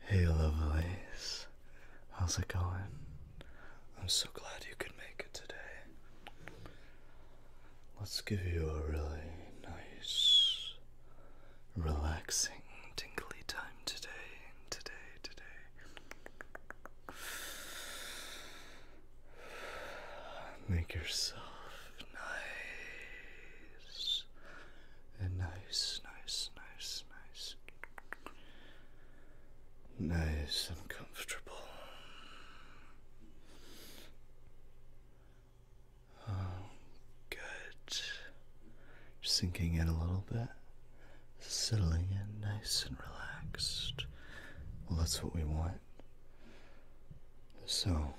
Hey lovelace, how's it going? I'm so glad you could make it today. Let's give you a really nice, relaxing, tingly time today, today, today. Make yourself nice. And uh, nice, nice, nice, nice. Nice and comfortable. Oh, good. Sinking in a little bit, settling in nice and relaxed. Well, that's what we want. So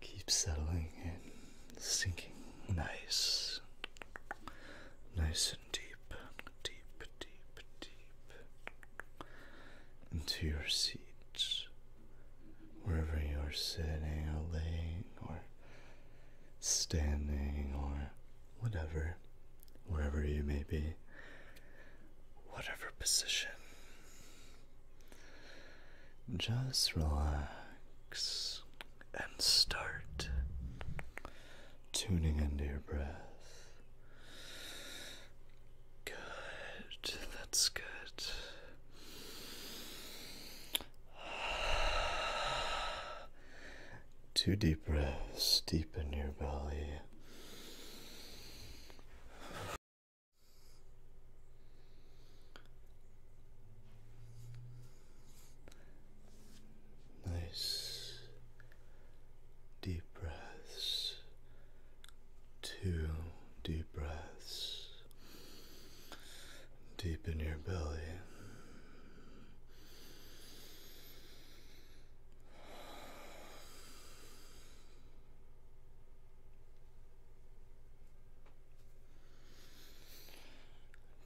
keep settling and sinking nice, nice and deep, deep, deep, deep into your seat. Wherever you're sitting or laying or standing or whatever, wherever you may be, whatever position. Just relax and start tuning into your breath. Good, that's good. Two deep breaths deep in your belly. Nice deep breaths, two deep breaths deep in your belly.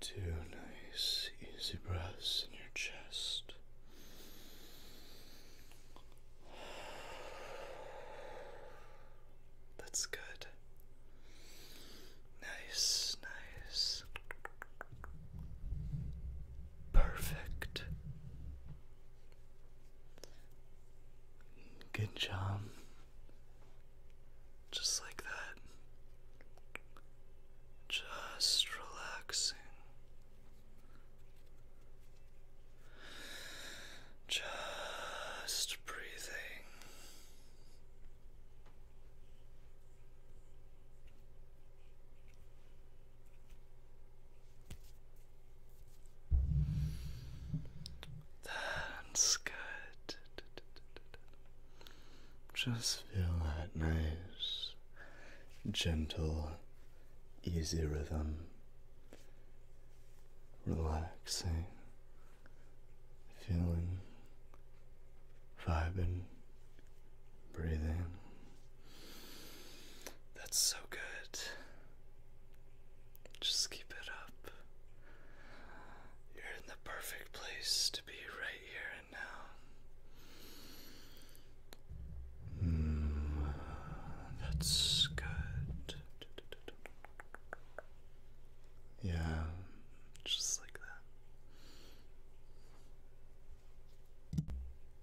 Two nice, easy breaths in your chest. That's good. Nice, nice. Perfect. Good job. Just like that. Just relaxing. Just breathing. That's good. Just feel that nice, gentle, easy rhythm. Relaxing, feeling, vibing, breathing. That's so good. Just keep it up. You're in the perfect place to be right here and now. Hmm, that's good. Yeah, just like that.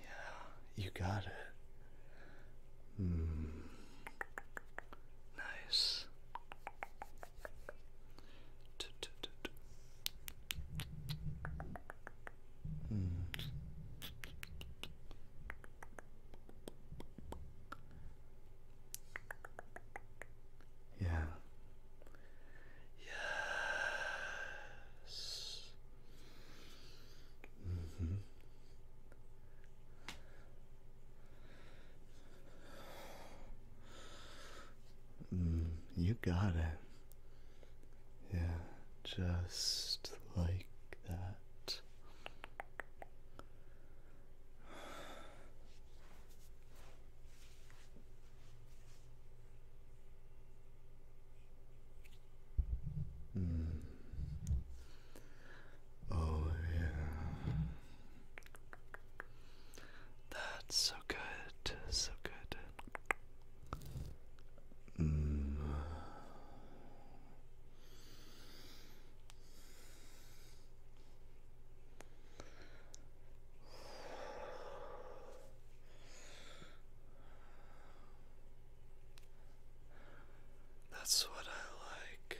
Yeah, you got it. Mm. Nice. Hmm. Yeah. Yes. Mm-hmm. Mm -hmm. you got it. Yeah, just like that. Oh, yeah. That's so good, so good. Mm. That's what I like.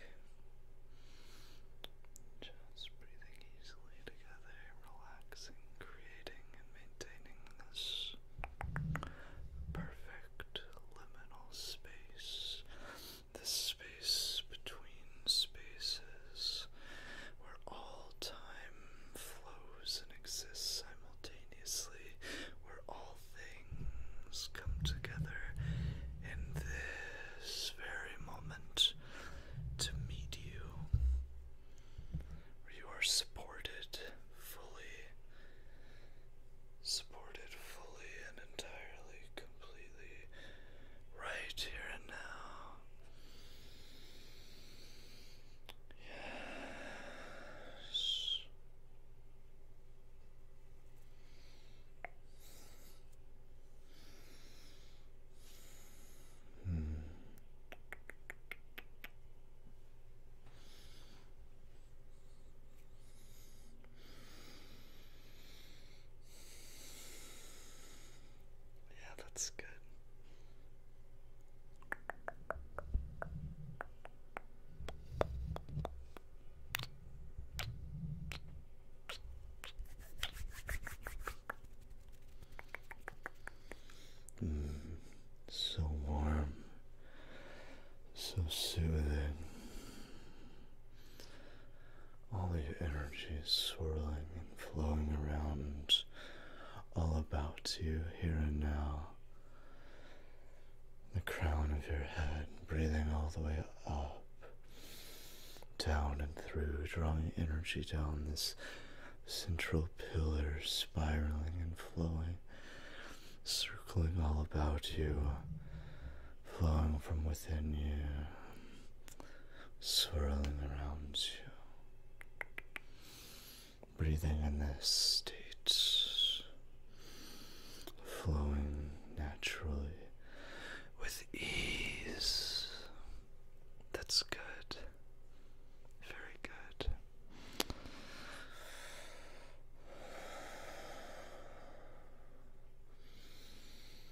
Just breathing easily together, relaxing, creating, and maintaining this perfect liminal space the space between spaces where all time flows and exists simultaneously, where all things come together in this very moment to meet you, where you are supported fully, supported fully and entirely, completely right here and now. Yes. Hmm. Yeah, that's good. Mm, so warm, so soothing all the energy swirling and flowing around, all about you here and now. The crown of your head, breathing all the way up, down and through, drawing energy down this central pillar, spiraling and flowing, circling all about you flowing from within you, swirling around you. Breathing in this state, flowing naturally with ease. That's good. Very good.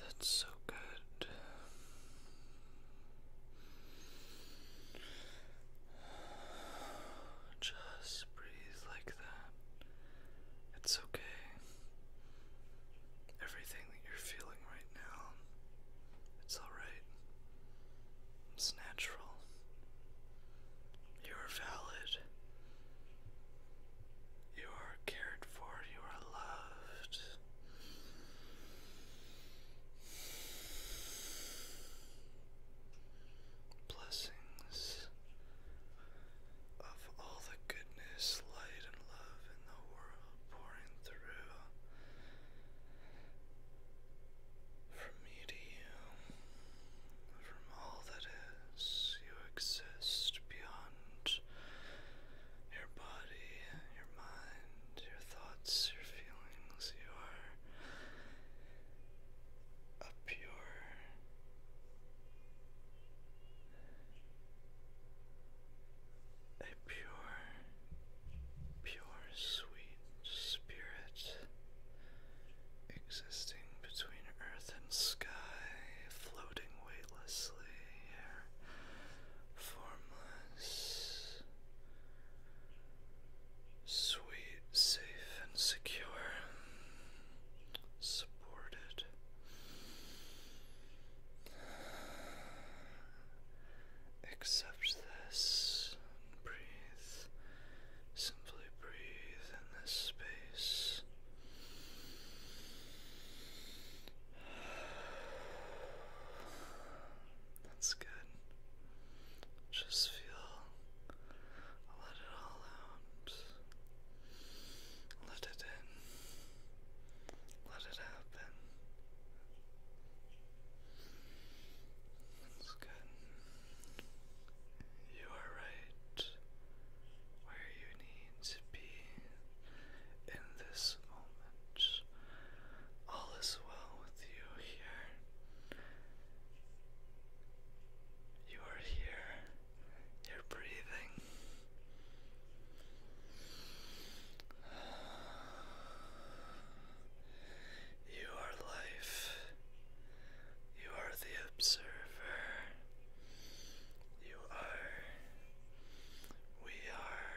That's so good. Just breathe like it's okay. Everything that you're feeling right now, it's alright. It's natural. You are valid. You are cared for. You are loved. Blessings of all the goodness, light, and love in the world pouring through from me to you, from all that is. You exist beyond your body, your mind, your thoughts, your feelings. You are a pure a pure pure sweet spirit existing between earth and sky floating weightlessly here formless Sweet safe and secure, supported. Accept this breathe. Simply breathe in this space. That's good. Just feel let it all out. Let it in. Let it happen. That's good. You are right where you need to be in this moment. All is well with you here. You are here your breathing. You are life. You are the observer. You are. We are.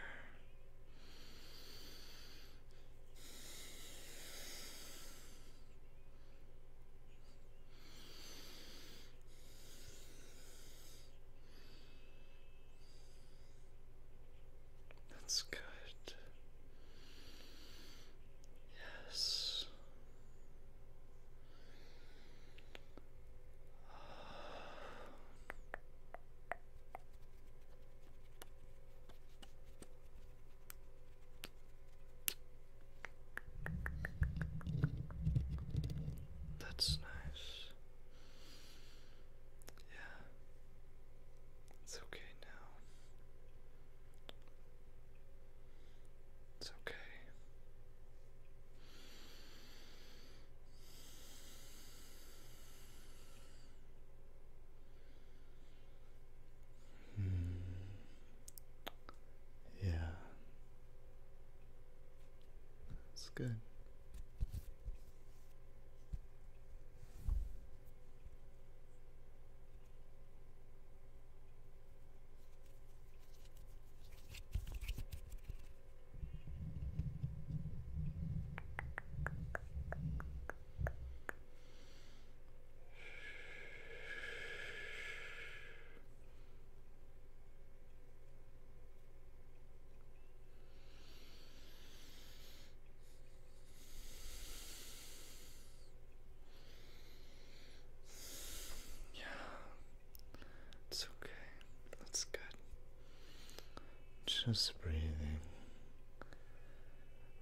That's good. Yes. That's nice. Yeah. It's okay now. It's okay. Hmm. Yeah. That's good. Yeah, it's okay. That's good. Just breathing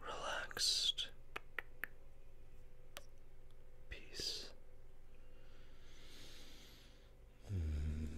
relaxed peace. Mm.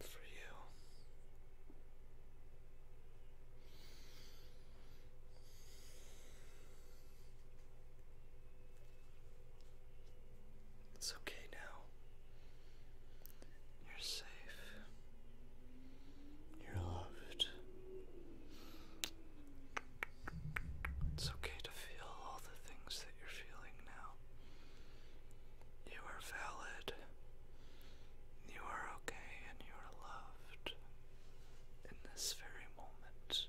for you. It's okay now. You're safe. You're loved. It's okay to feel all the things that you're feeling now. You are valid. You are okay and you are loved in this very moment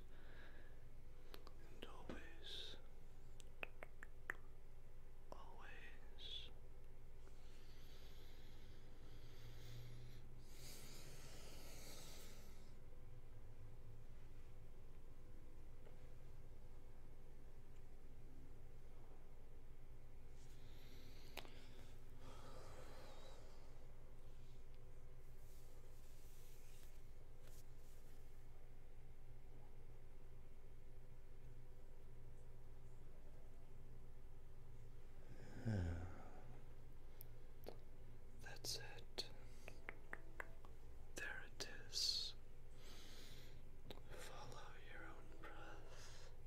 and always. Always. Yeah. That's it. There it is. Follow your own breath.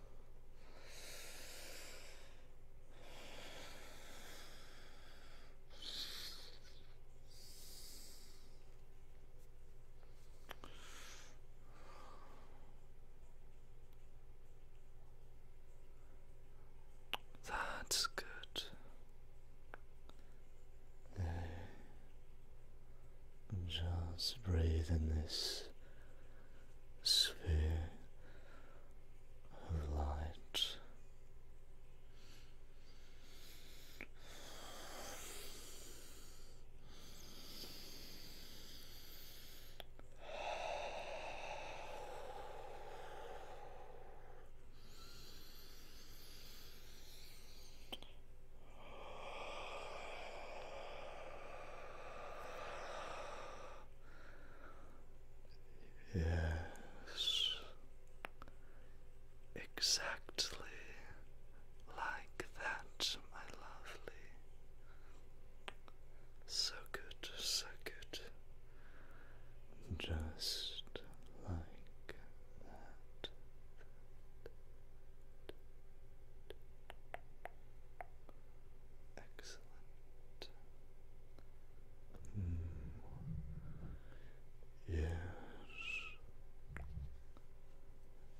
That's good. No. Just breathe in this sphere of light. Yes, exactly like that, my lovely. So good, so good, just like that. Excellent. Hmm. Yes.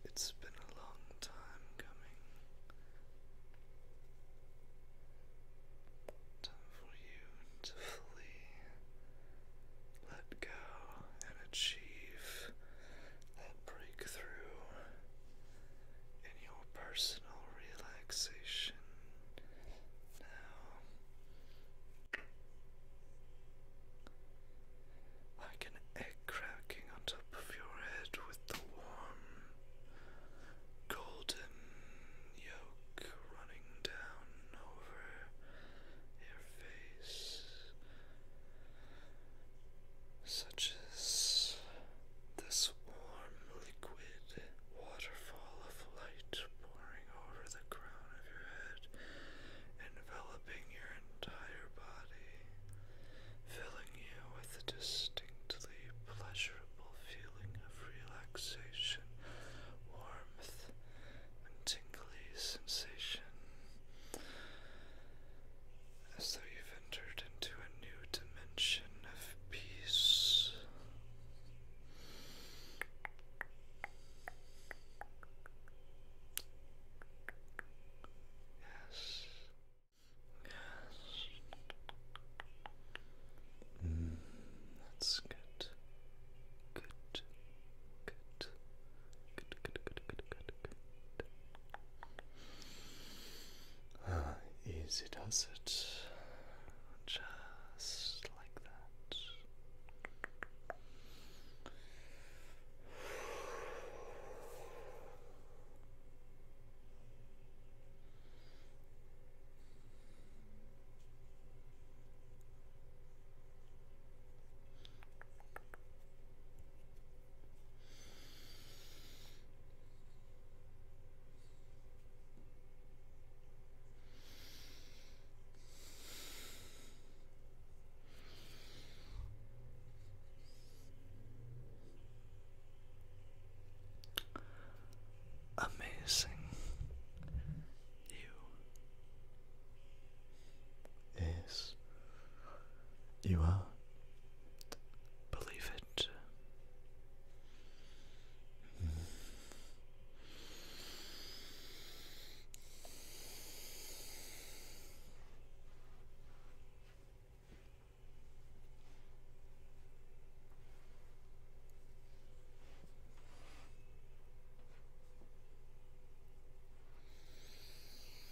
It's been a long time coming. Time for you to flee, let go, and achieve that break through in your personal relaxation now. Like an egg cracking on top of your head with the warm golden yolk running down over your face such as this warm liquid waterfall of light pouring over the crown of your head, enveloping your entire body, filling you with a distinctly pleasurable feeling of relaxation, warmth, and tingly sensation as though you've entered into a new dimension of peace. Yes. Yes. Mm, that's good. Good. Good. Good, good, good, easy does it. Just like that. Amazing. You is you are. Believe it.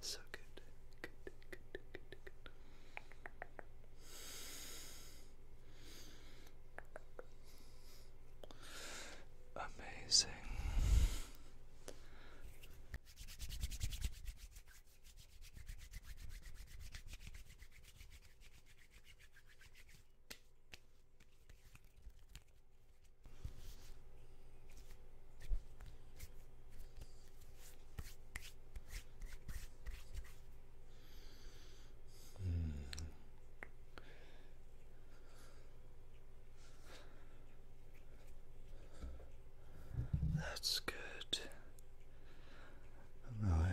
So good. Good, good, good, good, good. Amazing. That's good. No, oh,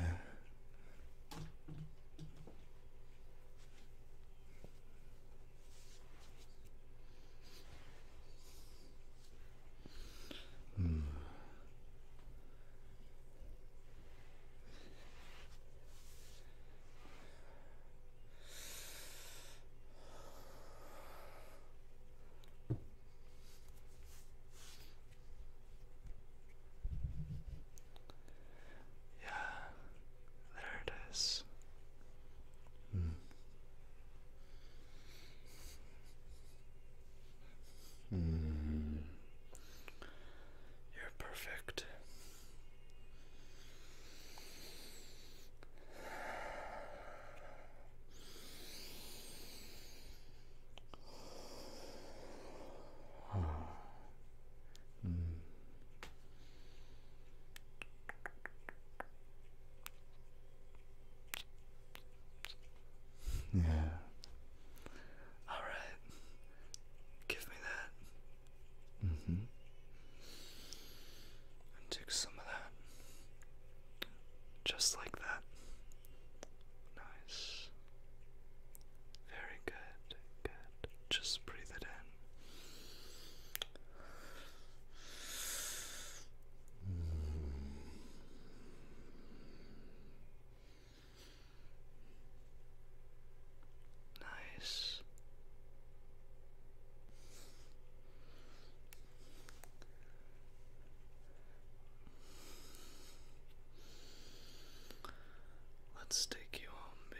Hmm. Yeah, there it is. Mm. You're perfect. Mm. Yeah. All right. Give me that. Mm hmm. take some of that. Just like that. Nice. Very good. Good. Just breathe it in. Nice. Let's take you home, baby.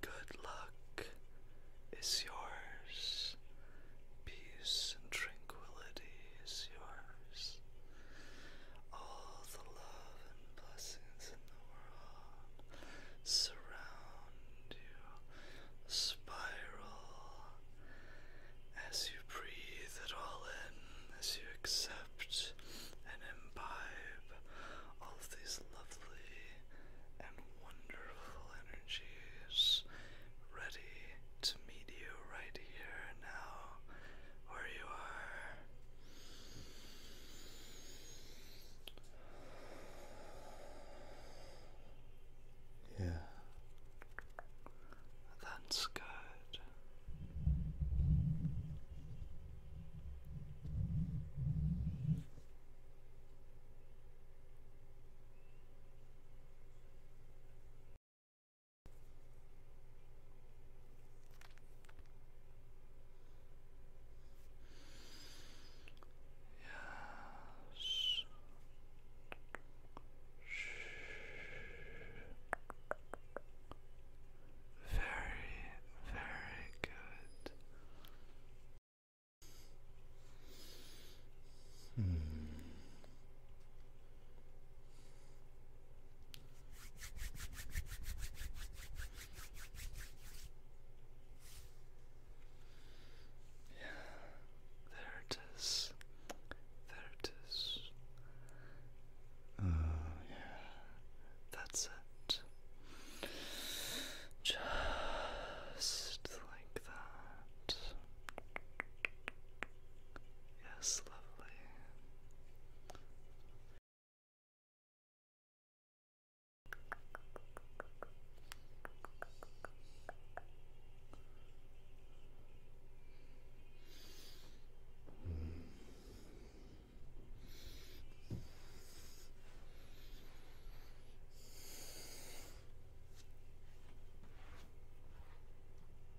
Good luck is yours, peace and tranquility is yours. All the love and blessings in the world surround you, spiral as you breathe it all in, as you accept and imbibe all of these lovely and wonderful energies ready to meet you right here now where you are. Yeah. That's good. Yes. Shh. Very, very good. Hmm. Yeah, there it is. There it is. Uh, yeah. That's it. Just like that. Yes, lovely. Mm.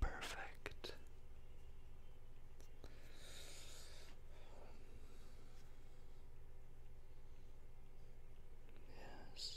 Perfect. Yes.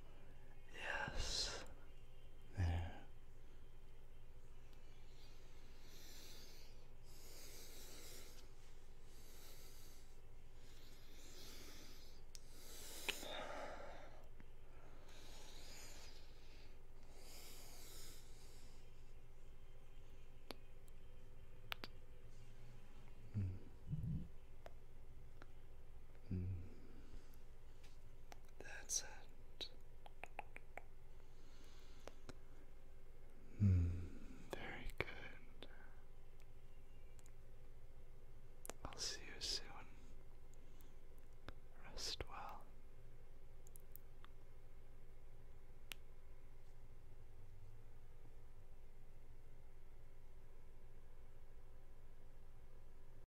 Yes. There. Mm. Mm. That's it. Hmm, very good. I'll see you soon. Rest well.